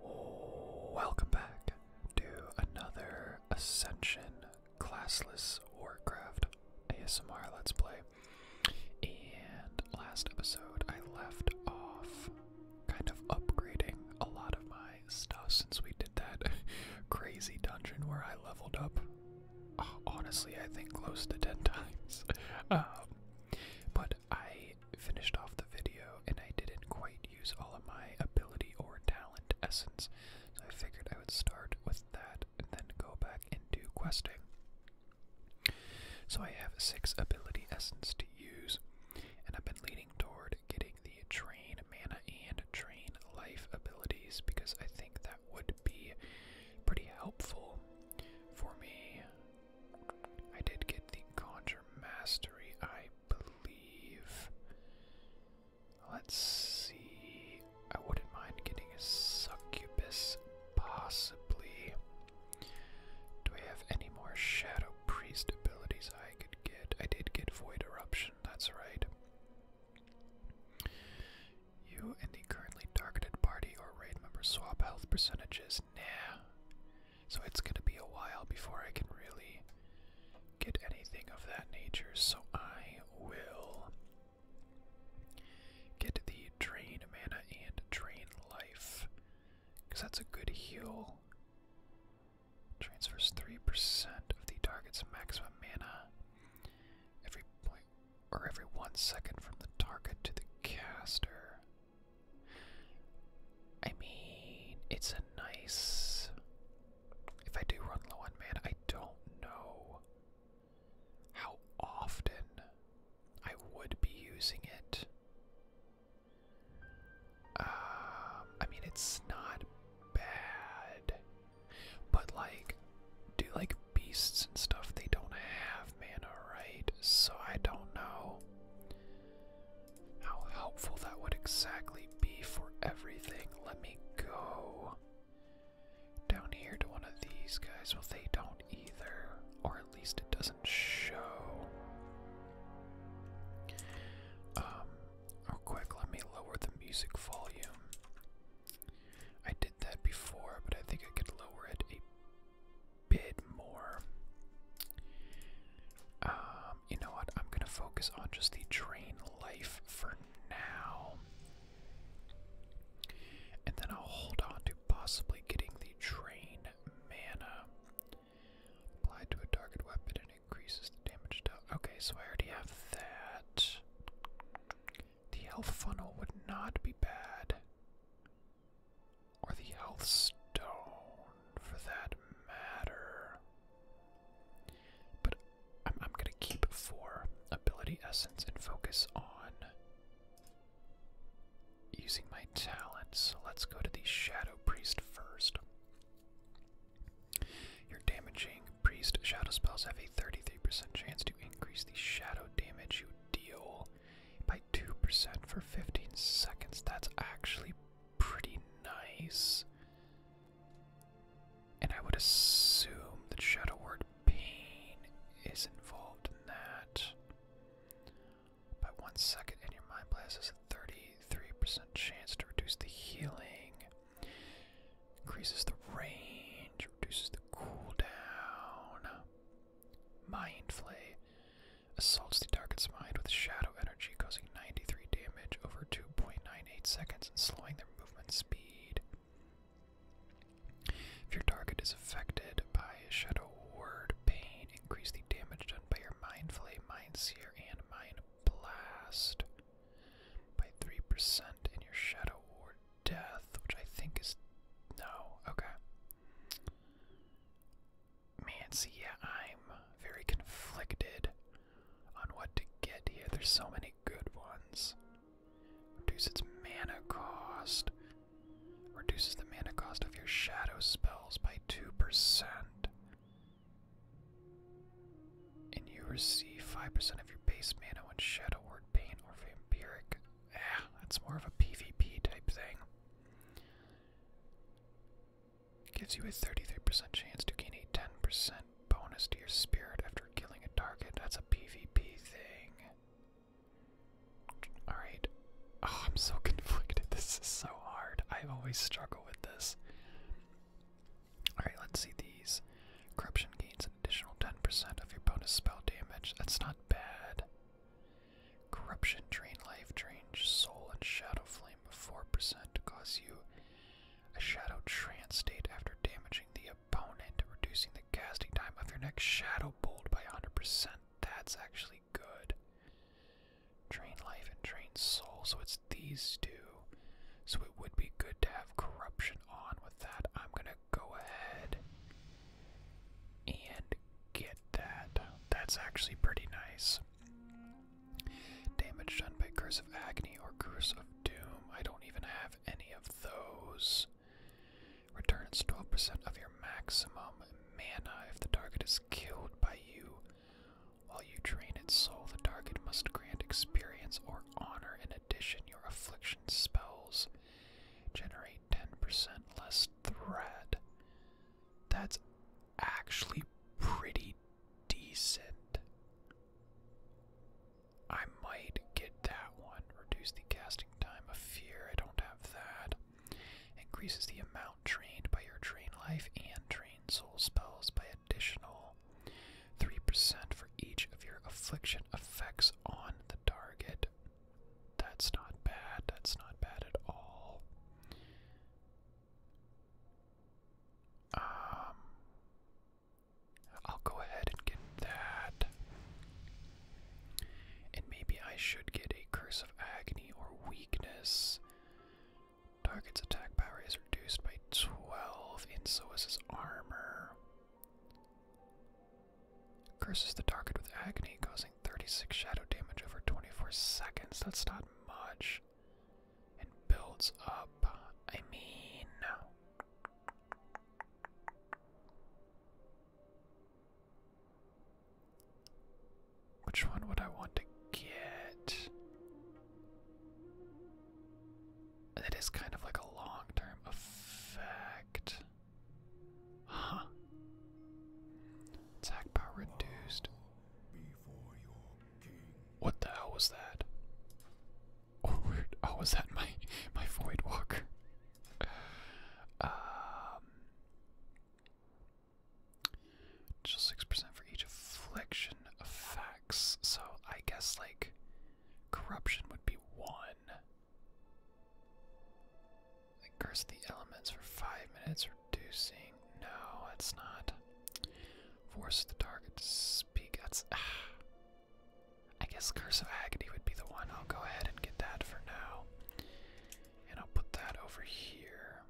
Welcome back to another Ascension Classless Warcraft ASMR Let's Play. And last episode, I left off kind of upgrading a lot of my stuff since we did that crazy dungeon where I leveled up, honestly, I think close to 10 times. Um, but I finished off the video and I didn't quite use all of my ability or talent essence, so I figured I would start with that and then go back and do questing. So I have six ability essence to use, and I've been leaning toward getting the train mana and train life abilities because I think that would be pretty helpful for me I did get the Conjure Mastery, I believe. Let's see. I wouldn't mind getting a Succubus, possibly. Do I have any more Shadow Priest abilities I could get? I did get Void Eruption, that's right. You and the currently targeted party or raid member swap health percentages nah. So it's gonna be a while before I can really get anything of that nature. So I will get the drain mana and drain life. Because that's a good heal. Transfers 3% of the target's maximum mana every point or every one second from the target to the caster. I mean, it's a nice. If I do run low on mana, I don't know how often I would be using it. Um, I mean, it's not bad, but like, do like beasts and stuff? They don't have mana, right? So I don't know. How helpful that would exactly be for everything. Let me go down here to one of these guys. Well, they don't either, or at least it doesn't show. Um, real quick, let me lower the music volume. I did that before, but I think I could lower it a bit more. Um, you know what? I'm gonna focus on just the train life for now. And then I'll hold on to possibly getting the train mana. Applied to a target weapon and increases damage to. Okay, so I already have that. The health funnel would not be bad. Or the health stone, for that matter. But I'm, going to keep for ability essence and focus on using my talent. So let's go to the Shadow Priest first. Your damaging priest shadow spells have a 33% chance to increase the shadow damage you deal by 2% for 15 seconds. That's actually pretty nice. And I would assume that Shadow Word Pain is involved in that. By one second in your mind blast is a 33% chance to reduce the healing. Increases the range, reduces the cooldown. Mind flay assaults the target's mind with shadow energy, causing 93 damage over 2.98 seconds and slowing their movement speed. If your target is affected by a shadow ward, pain, increase the damage done by your mind flame, mind sear, and mind blast by 3% in your shadow ward death, which I think is no, okay man, yeah, I'm very conflicted on what to get here. There's so many good ones. Reduce its mana cost. Reduces the mana cost of your shadow spells by 2%. And you receive 5% of your base mana when Shadow Word, Pain, or Vampiric. Ah, that's more of a PvP type thing. Gives you a 33% chance to gain a 10% bonus to your spirit after killing a target. That's a PvP thing. Alright. Oh, I'm so conflicted. This is so hard. I always struggle with this. Alright, let's see these. Corruption gains an additional 10% of your bonus spell damage. That's not bad. Corruption drain, life drain, soul, and shadow flame of 4% cause you a shadow trance state after damaging the opponent, reducing the casting time of your next shadow bolt by 100%. That's actually good. Drain life and drain soul, so it's these two. So it would be good to have corruption on with that. I'm gonna go ahead and get that. That's actually pretty nice. Damage done by Curse of Agony or Curse of Doom. I don't even have any of those. Returns 12 of your maximum mana if the target is killed by you. While you drain its soul, the target must grant experience or honor. In addition, your affliction spells generate 10 less threat. That's actually pretty decent. I might get that one. Reduce the casting time of fear. I don't have that. Increases the amount trained by your train life and train soul spells by additional 3% for each of your affliction effects on the target. That's not bad. That's not bad at all. Um, I'll go ahead and get that. And maybe I should get a Curse of Agony or Weakness. Target's attack power is reduced by 12, and so is his armor. Curses the target with agony, causing 36 shadow damage over 24 seconds. That's not much. And builds up. I mean. Which one would I want to get? That is kind of like a long term effect. Huh. Attack power reduced. What the hell was that? Oh, weird. Oh, was that my my void walk? Um, just six percent for each affliction effects. So I guess like corruption would be one. Like the elements for five minutes, reducing. No, that's not. Force the target to speak. That's. Ah. I guess curse of agony would be the one. I'll go ahead and get that for now, and I'll put that over here.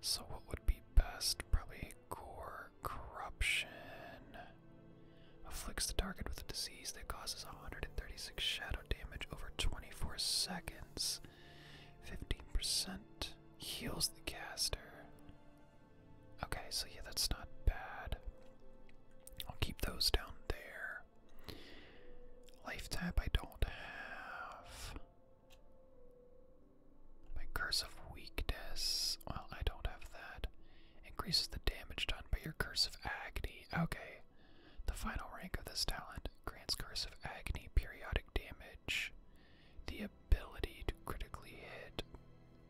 So what would be best? Probably gore corruption. Afflicts the target with a disease that causes 136 shadow damage over 24 seconds. 15% heals the caster. Okay, so yeah, that's not bad. I'll keep those down there. Life tap I don't have. My curse of weakness. Well, I don't have that. Increases the damage done by your curse of agony. Okay. The final rank of this talent grants Curse of Agony periodic damage, the ability to critically hit.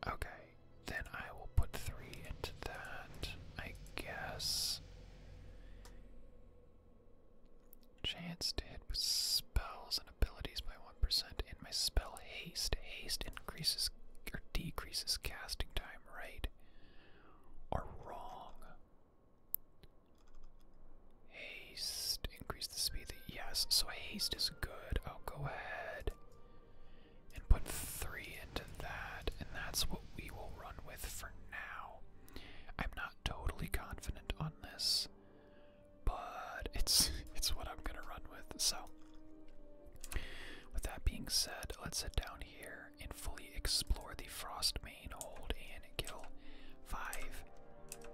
Okay, then I will put three into that, I guess. Chance to hit with spells and abilities by 1%, and my spell haste. Haste increases or decreases casting time, right? Or wrong. Haste, increase the speed. Yes, so haste is good. I'll oh, go ahead and put three into that, and that's what we will run with for now. I'm not totally confident on this, but it's it's what I'm gonna run with. So, with that being said, let's sit down here and fully explore the Frost Hold and kill five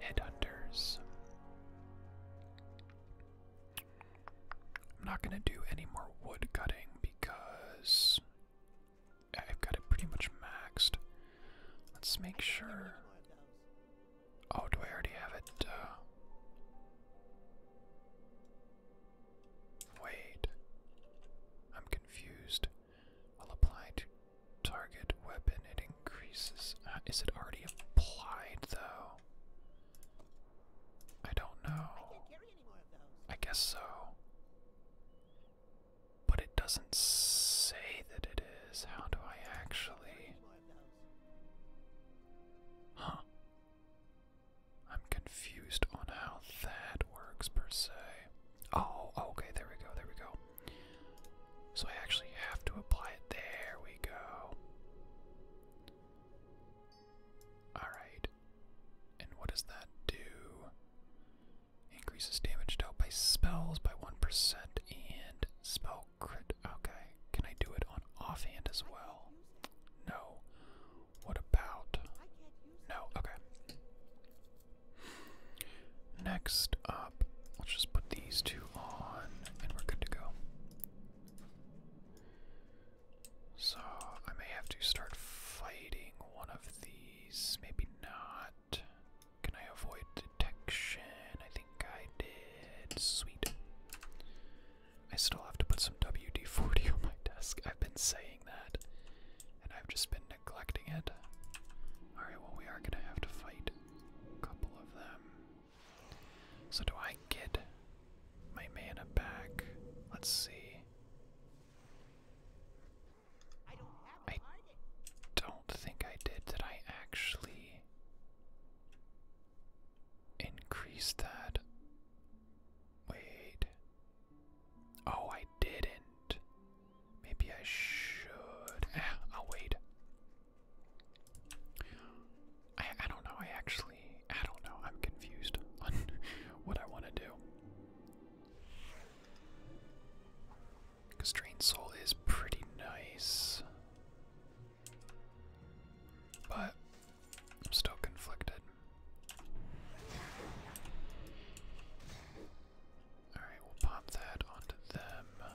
headhunters. I'm not gonna do any more wood cutting because I've got it pretty much maxed. Let's make sure. Oh, do I already have it? Uh, wait. I'm confused. Will apply to target weapon. It increases. Uh, is it already applied though? I don't know. I, guess so. But it doesn't say that it is. How do I actually. Huh. I'm confused on how works per se. Oh, okay, there we go, there we go. So I actually have to apply it. There we go. Alright. And what does that do? Increases damage dealt by spells by 1% and spell crit. Okay. Can I do it on offhand as well? No. What about. No. Okay. Next up, let's just put these two on and we're good to go. So, I may have to start fighting one of these, maybe not. Can I avoid detection? I think I did. Sweet. I still have to put some WD 40 on my desk. I've been saying that, and I've just been neglecting it. Alright, well, we are gonna have to fight a couple of them. So, do I get my mana back? Let's see. I don't, I don't think I did. Did I actually increase that? Wait. Oh, I didn't. Maybe I should. Ah, I'll wait. I, don't know. I actually. I don't know. I'm confused on what I want to do. Because Drain Soul is pretty nice. But I'm still conflicted. Alright, we'll pop that onto them.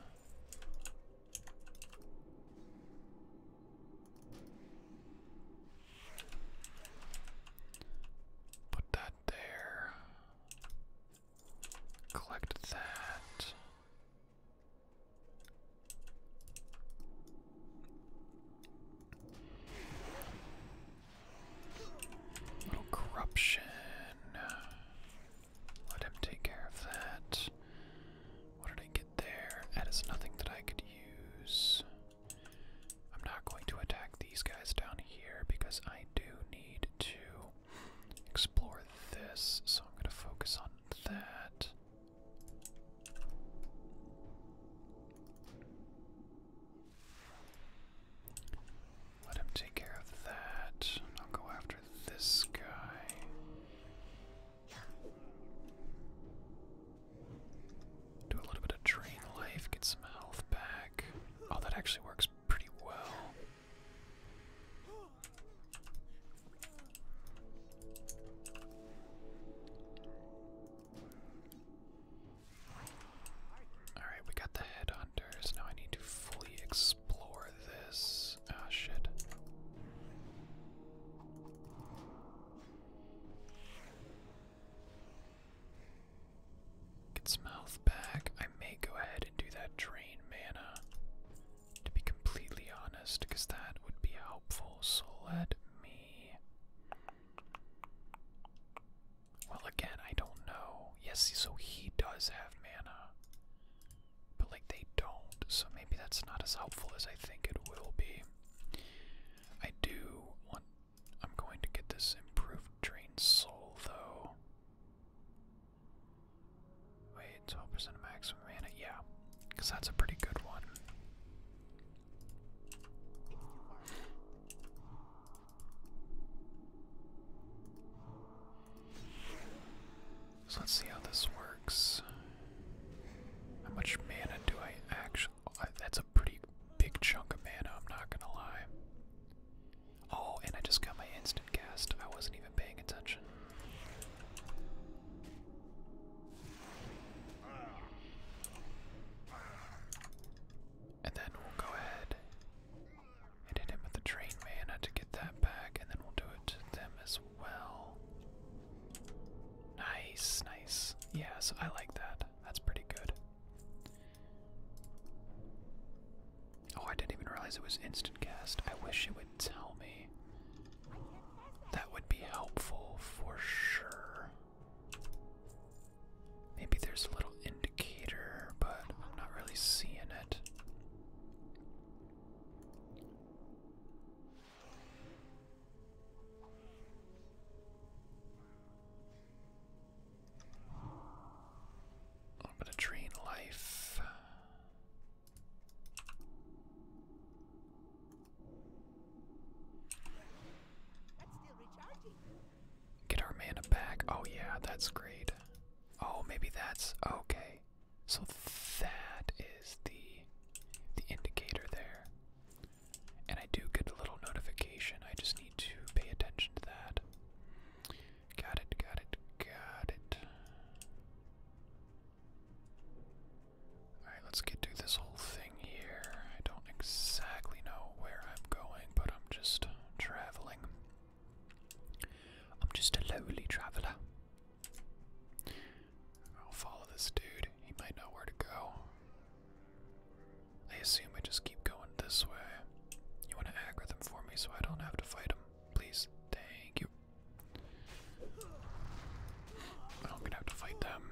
Put that there. Collect that little corruption. Let him take care of that. What did I get there? That is nothing that I could use. I'm not going to attack these guys down here because I do need to explore this, so I'm going to focus on that. Let him take care of that. I'll go after this guy. Do a little bit of drain life, get some health back. Oh, that actually works pretty well. Alright, we got the headhunters. Now I need to fully explore this. oh, shit. Get some health back. I may go ahead and do that drain mana, to be completely honest, because that would be helpful. So let me. Well, again, I don't know. Yes, so he does have mana. But, like, they don't, so maybe that's not as helpful as I think it will be. I do want. I'm going to get this improved drain soul, though. Wait, 12% maximum mana? Yeah, because that's a pretty good one let's see how this works. How much mana do I actually. that's a pretty big chunk of mana, I'm not gonna lie. Oh, and I just got my instant cast. I wasn't even paying attention. And then we'll go ahead and hit him with the drain mana to get that back, and then we'll do it to them as well. Nice, nice. Yeah, so I like that. That's pretty good. Oh, I didn't even realize it was instant cast. I wish it would tell me. That would be helpful for sure. Maybe there's a little indicator, but I'm not really seeing it. A little bit of train life. That's still recharging. Get our mana back. Oh yeah, that's great. Oh, maybe that's okay. So that is the the indicator there. And I do get a little notification. I just need to pay attention to that. Got it, got it, got it. Alright, let's get to this whole thing here. I don't exactly know where I'm going, but I'm just traveling. I'm just a lowly traveler. I'll follow this dude. He might know where to go. I assume I just keep going this way. You want to aggro them for me so I don't have to fight them? Please. Thank you. I'm gonna have to fight them.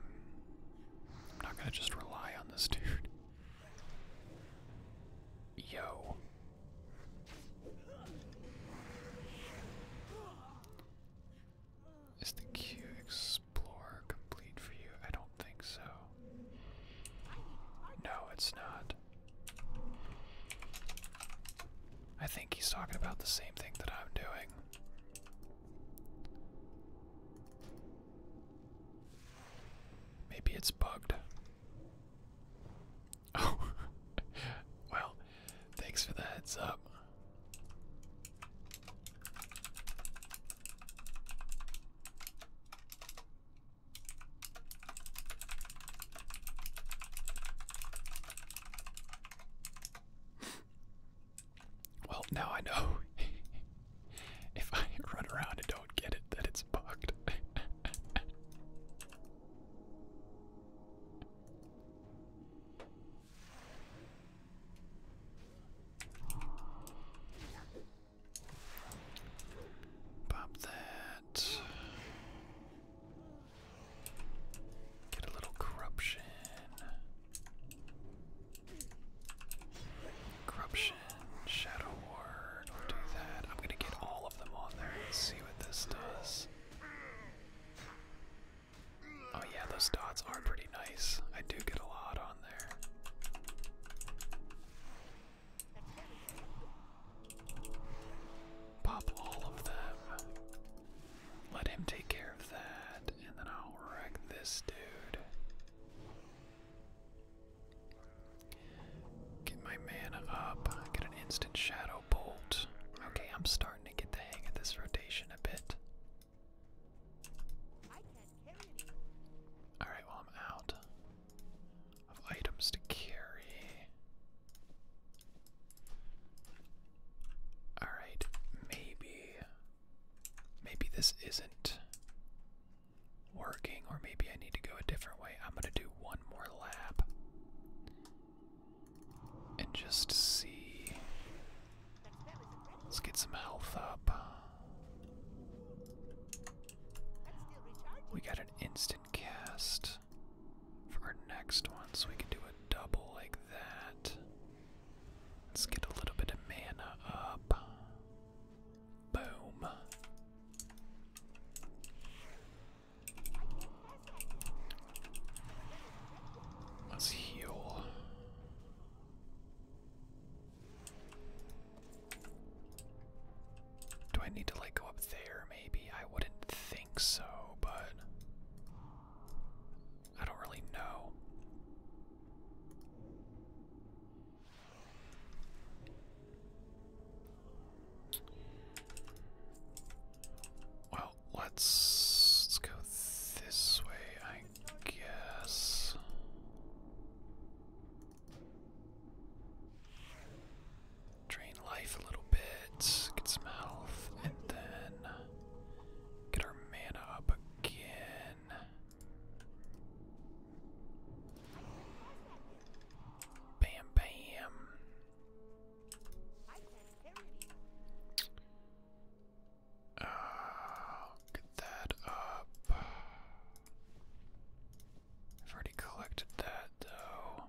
I'm not gonna just rely on this dude. Yo. Is the Q Explorer complete for you? I don't think so. No, it's not. I think he's talking about the same thing that I'm doing. Maybe it's bugged. Oh, well, thanks for the heads up. Well, now I know. If I run around and don't get it, that it's bugged. Pop that. Get a little corruption. Corruption, Shadow War, do that. I'm gonna get all of them on there and see what this does. Oh yeah, those dots are pretty nice. I do get a lot on there. Pop all of them. Let him take care of that, and then I'll wreck this dude. Get my mana up. Get an instant shadow bolt. Okay, I'm starting to get the hang of this rotation a bit. Alright, well, I'm out of items to carry. Alright, maybe. Maybe this isn't working, or maybe I need to go a different way. I'm going to do one more lap and just see. Let's get some health up. We got an instant cast for our next one, so we can do a double like that. Let's get a little bit of mana up. Boom. Let's heal. Do I need to like go up there maybe? I wouldn't think so, but I don't really know. Well, let's, let's go this way, I guess. Drain life a little bit, get some health, and then get our mana up again. Bam, bam. Uh, get that up. I've already collected that though.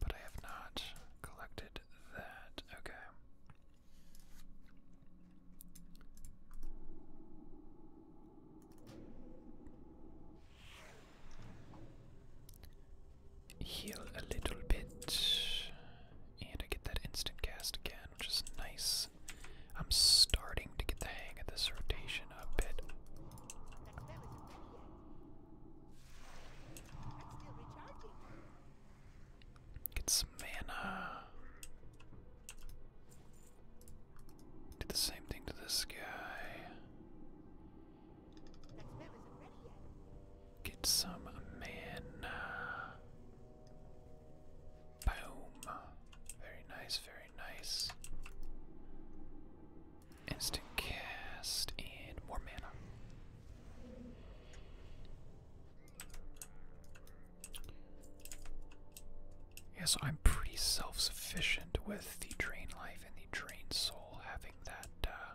But I have not collected that. Okay. Heal a little bit, and I get that instant cast again, which is nice. I'm starting to get the hang of this rotation a bit. Get some mana. Do the same thing to this guy. Get some mana. Boom. Very nice, very nice. Instant cast and more mana. Yeah, so I'm pretty self sufficient with the drain life and the drain soul having that uh,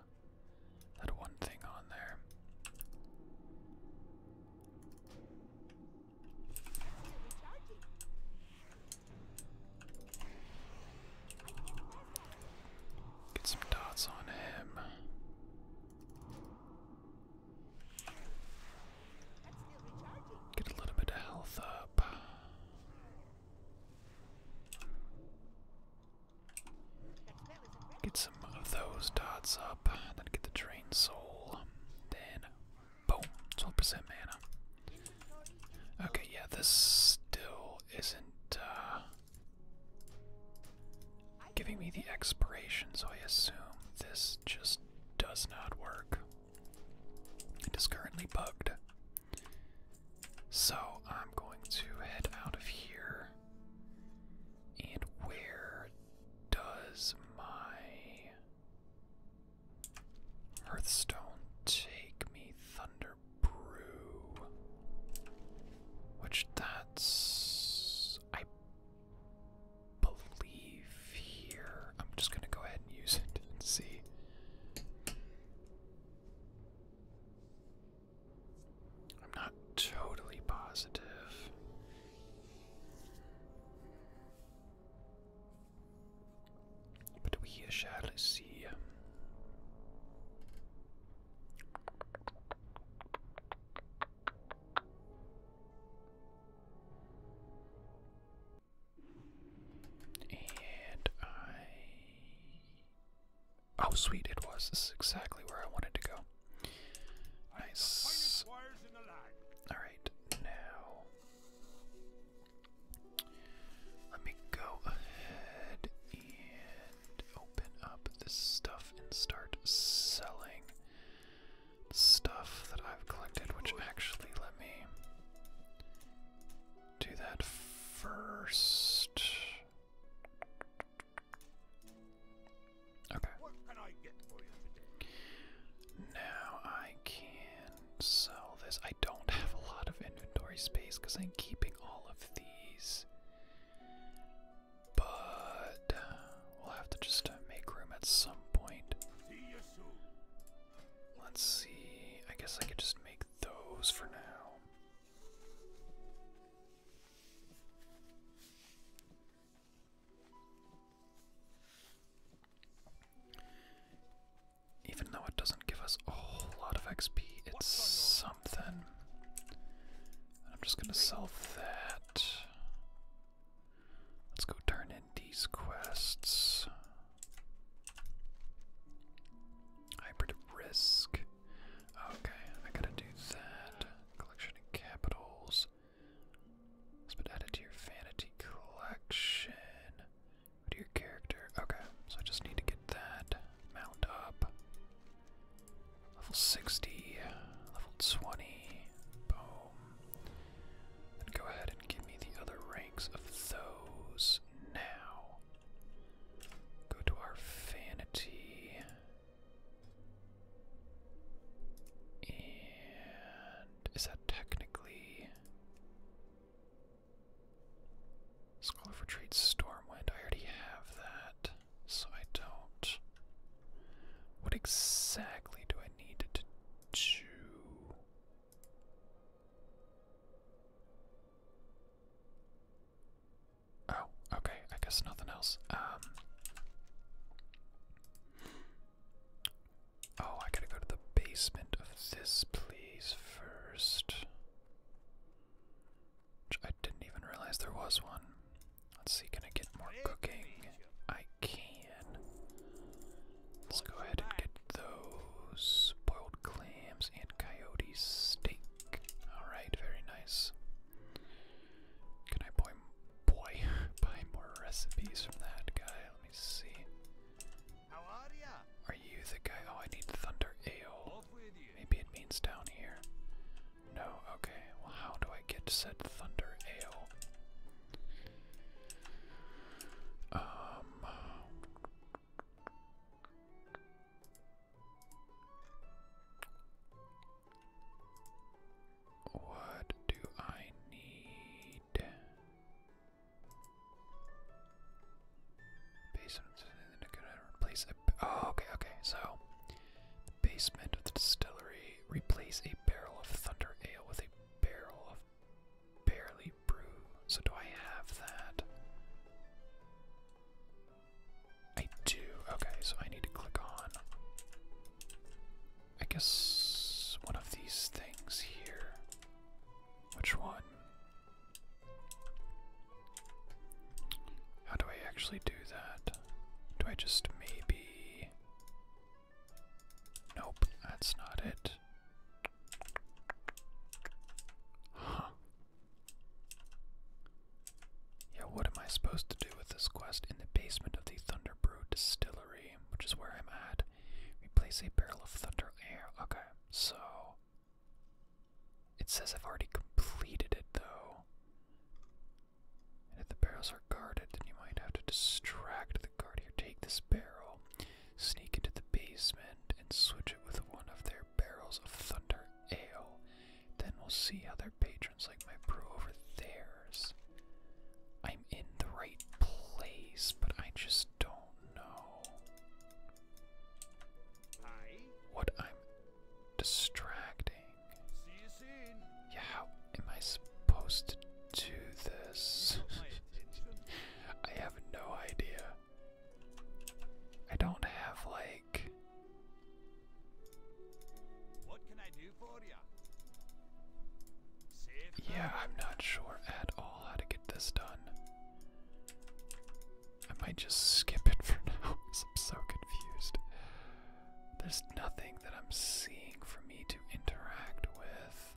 that one thing on there. Get some dots on him. Get a little bit of health up. Get some of those dots up, and then get the drain soul. Then, boom, 12% mana. Okay, yeah, this still isn't, uh, giving me the expiration, so I assume this just does not work. It is currently bugged. So I'm going to head out of here. And where does my Hearthstone take me? Thunder Brew. Which that's. I believe here. I'm just going to go ahead and use it and see. I'm not totally positive. But we shall see. And I. Oh, sweet, it was. This is exactly where I wanted to go. Alright, now. Let me go ahead and open up this stuff and start selling stuff that I've collected, which actually let me do that first. Okay. Now I can sell this. I don't have a lot of inventory space because I'm keeping all of these but uh, we'll have to just uh, make room at some point. Let's see. I guess I could just make those for now. Even though it doesn't give us a whole lot of XP, it's something. I'm just gonna sell that. Let's go turn in these quests. Hybrid risk. Okay, I gotta do that. Collection of capitals. Let's put added to your vanity collection. To your character. Okay, so I just need to get that. Mount up. Level 60. Level 20. Boom. Then go ahead and give me the other ranks of those now. Go to our vanity. And is that technically Scholar for Trade Stormwind? I already have that, so I don't. What exactly do I need to do? Oh, okay, I guess nothing else. Um Oh, I gotta go to the basement of this place first. Which I didn't even realize there was one. Let's see, can I get more cooking? I can. Let's go ahead and get those boiled clams and coyote steak. Alright, very nice. Can I buy, boy, buy more recipes from that guy? Let me see. How are ya? Are you the guy? Oh, I need thunder ale. Maybe it means down here. No, okay. Well, how do I get said thunder ale? Um. What do I need? Based Oh, okay, okay. So the basement of the distillery. Replace a barrel of Thunder Ale with a barrel of Barely Brew. So, do I have that? I do. Okay, so I need to click on. I guess one of these things here. Which one? How do I actually do that? Do I just maybe. Nope, that's not it. Huh. Yeah, what am I supposed to do with this quest? In the basement of the Thunderbrew Distillery, which is where I'm at, replace a barrel of Thunder Air. Okay, so. It says I've already completed it, though. And if the barrels are guarded, then you might have to distract the guard here. Take this barrel, sneak into the basement, and switch it with one of their barrels of thunder ale. Then we'll see how their patrons like my brew over theirs. I'm in the right place, but I just don't know what I'm distracting. Yeah, how am I supposed to do this? I have no idea. I don't have like. What can I do for you? Yeah, I'm not sure at all how to get this done. I might just skip it for now because I'm so confused. There's nothing that I'm seeing for me to interact with.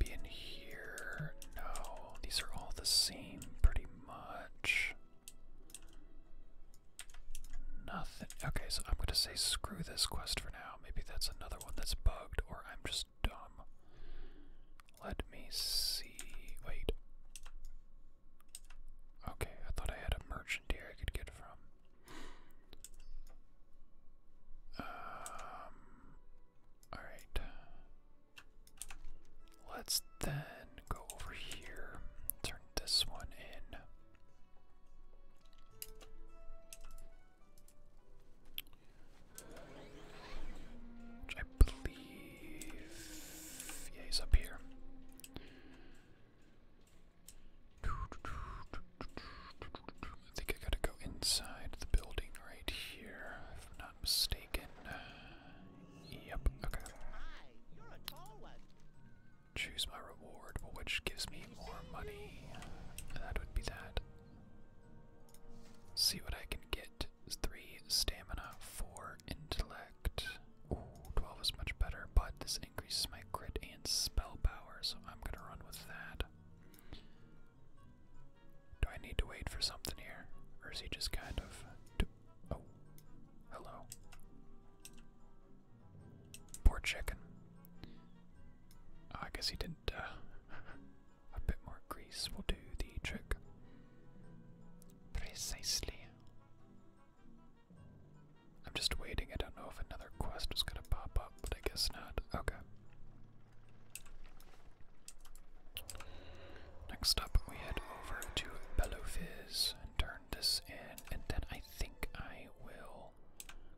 Maybe in here? No, these are all the same pretty much. Nothing. Okay, so I'm going to say screw this quest for now. Maybe that's another one that's bugged, or I'm just dumb. Let me see. Wait. Okay, I thought I had a merchant here I could get from. Um, alright. Let's then go over here, turn this one in. Which I believe yeah, he's up here. I think I gotta go inside the building right here, if I'm not mistaken. Yep, okay. Choose my reward, which gives me more money. That would be that. See what I can get. Three stamina, four intellect. 12 is much better, but this increases my grit and spell power, so I'm gonna run with that. Do I need to wait for something here? Or is he just kind of. Oh, hello. Poor chicken. Oh, I guess he didn't. Uh, a bit more grease will do the trick. Precisely. I'm just waiting. I don't know if another quest is going to pop up, but I guess not. Okay. Next up, we head over to Bellofiz and turn this in, and then I think I will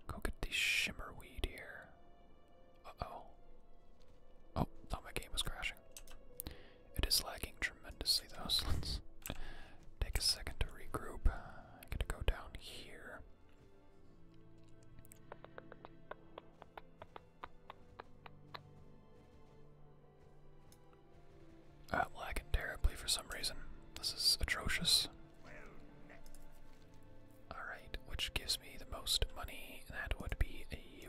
go get the shimmerweed here. Uh oh. Oh, thought my game was crashing. It is lagging tremendously Those so let's take a second to regroup. I'm gonna go down here. Uh, lagging terribly for some reason. This is atrocious. Alright, which gives me the most money. That would be a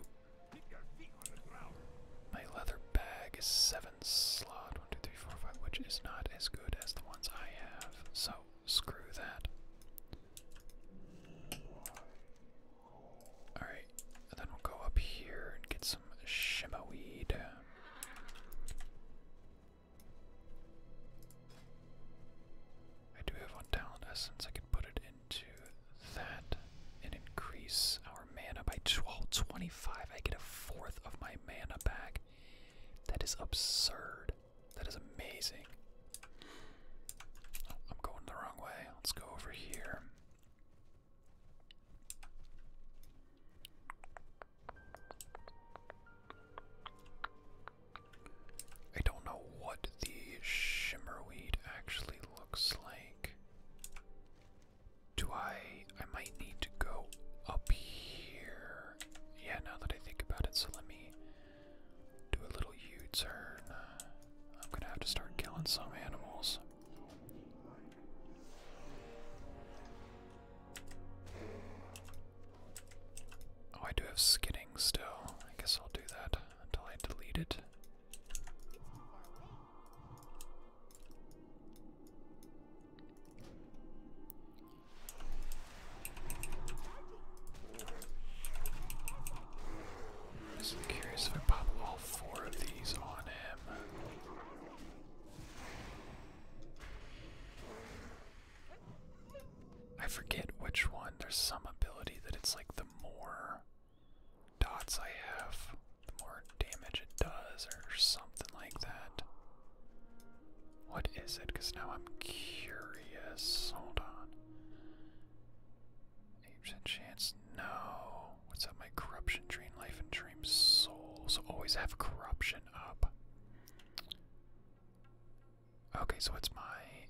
my leather bag is seven slot, one, two, three, four, five, which is not as good as the ones I have. So screw that. Alright, then we'll go up here and get some shimma weed. I do have one talent essence. I could put it into that and increase our mana by 12, 25. I get a fourth of my mana back. That is absurd. That is amazing. Oh, I'm going the wrong way. Let's go over here. I don't know what the shimmerweed actually looks like. Do I. I might need to go up here. Yeah, now that I think about it, so let me do a little U turn. I'm gonna have to start killing some animals. Oh, I do have skidding still. I guess I'll do that until I delete it. Just curious if I pop all four of these on him. I forget which one. There's some ability that it's like the more dots I have, the more damage it does, or something like that. What is it? Because now I'm curious. Hold on. 8% chance? No. What's up, my corruption, drain life, and drain souls always have corruption up. Okay, so it's my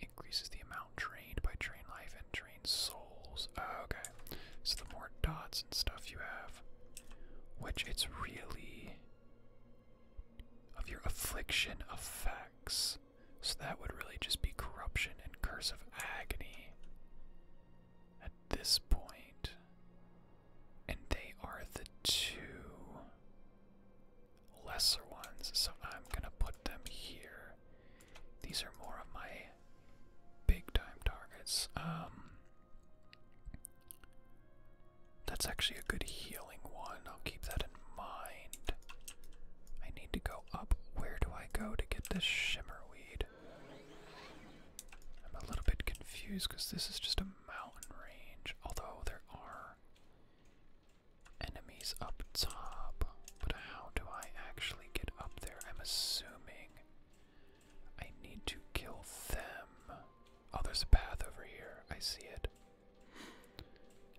increases the amount drained by drain life and drain souls. Ah, okay. So the more dots and stuff you have, which it's really of your affliction effects. So that would really just be corruption and curse of agony at this And they are the two lesser ones, so I'm gonna put them here. These are more of my big time targets. Um, that's actually a good healing one. I'll keep that in mind. I need to go up. Where do I go to get this shimmerweed? I'm a little bit confused because this is just a mountain range, although there are enemies up top. But how do I actually get up there? I'm assuming I need to kill them. Oh, there's a path over here. I see it.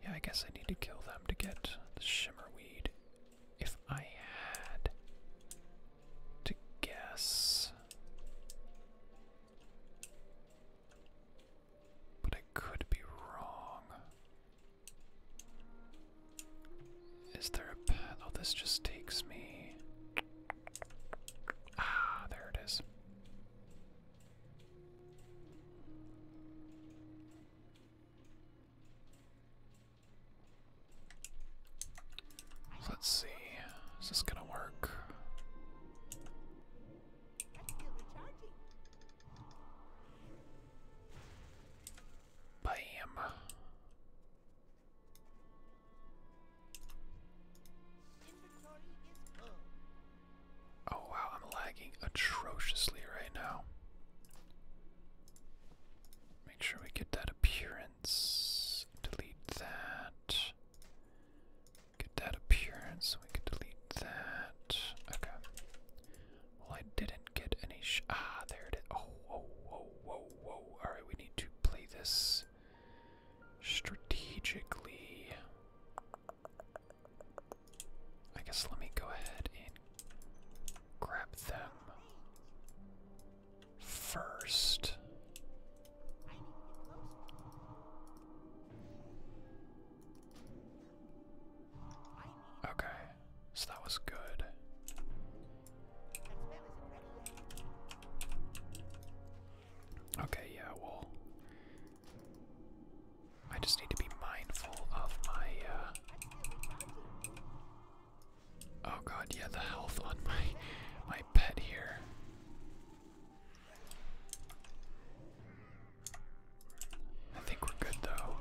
Yeah, I guess I need to kill them to get the shimmer weed. If I had to guess. But I could be wrong. Is there a path? Oh, this just takes me. Ah, there it is. Let's see. Is this gonna work? Bam. Oh wow, I'm lagging atrociously right now. Make sure we get that appearance. Delete that. Get that appearance. We can delete that. Okay. Well, I didn't get any. ah, there it is. Oh, whoa, oh, oh, whoa, oh, whoa, whoa, Alright, we need to play this strategically. I guess let me go ahead and grab them first. Okay so that was good. Okay, yeah, well, I just need to be mindful of my. Uh, oh god, yeah, the health on my my pet here. I think we're good though.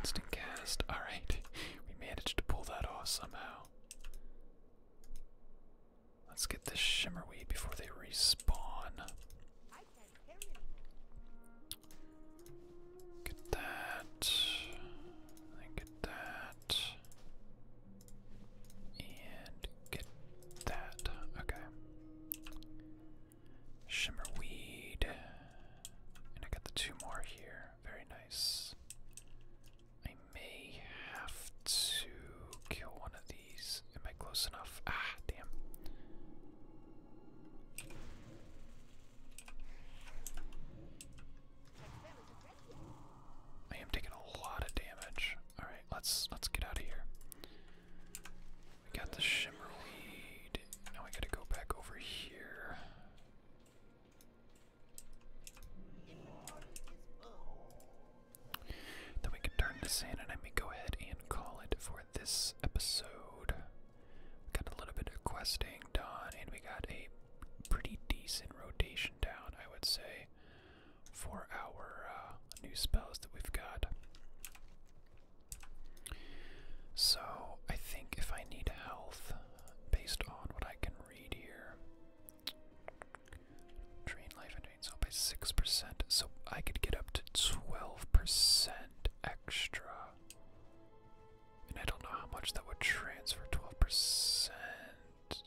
Instant cast. Alright, we managed to pull that off somehow. Let's get this shimmerweed before they respawn. Get that. And get that. And get that. Okay. Shimmerweed. And I got the two more here. Very nice. I may have to kill one of these. Am I close enough? Ah, damn. I am taking a lot of damage. All right, let's let's get out of here. We got the shimmerweed. Now we gotta go back over here. Then we can turn this in, and I may go ahead and call it for this episode. We got a little bit of questing done, and we got a pretty decent rotation down, I would say for our uh, new spells that we've got. So I think if I need health, based on what I can read here, drain life and drain health by six percent. So I could get up to twelve percent extra, and I don't know how much that would transfer. Twelve percent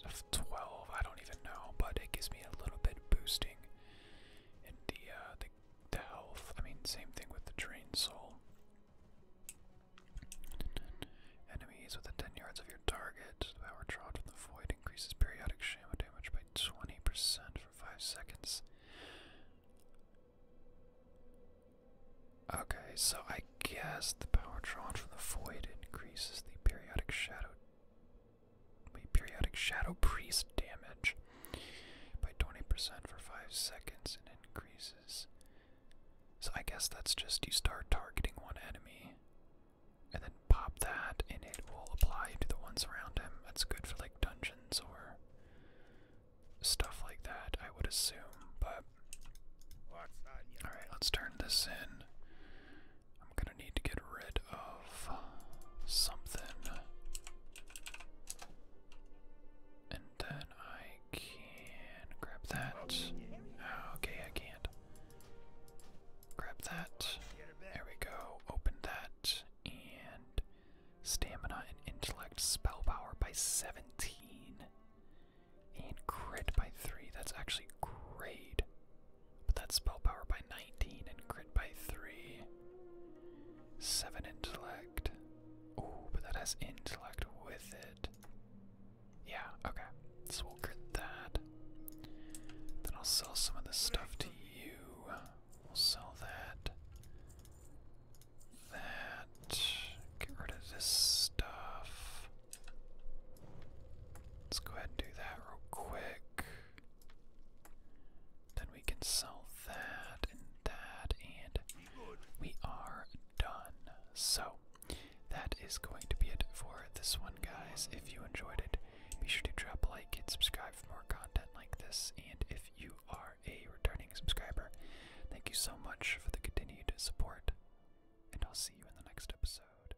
of twelve, I don't even know, but it gives me a little bit boosting. Uh, the, the health. I mean, same thing with the drain soul. Enemies within 10 yards of your target. The power from the void increases periodic shaman damage by 20% for 5 seconds. Okay, so I guess the power from the void increases the periodic shadow Wait, periodic shadow priest damage by 20% for 5 seconds and increases. So I guess that's just you start targeting one enemy and then pop that and it will apply to the ones around him. That's good for like dungeons or stuff like that, I would assume, but. Alright, let's turn this in. I'm gonna need to get rid of something. And then I can grab that. Okay, I can't. Grab that. There we go. Open that. And stamina and intellect, spell power by 17. And grit by 3. That's actually great. But that's spell power by 19 and crit by 3. 7 intellect. Oh, but that has intellect with it. Yeah, okay. So we'll crit that. Then I'll sell some of this stuff to you. We'll sell that. That. Get rid of this stuff. Let's go ahead and do that real quick. Then we can sell that and that, and we are done. So, that is going to be it for this one, guys. If you enjoyed it, be sure to drop a like and subscribe for more content like this. And if you are a returning subscriber, thank you so much for the continued support, and I'll see you in the next episode.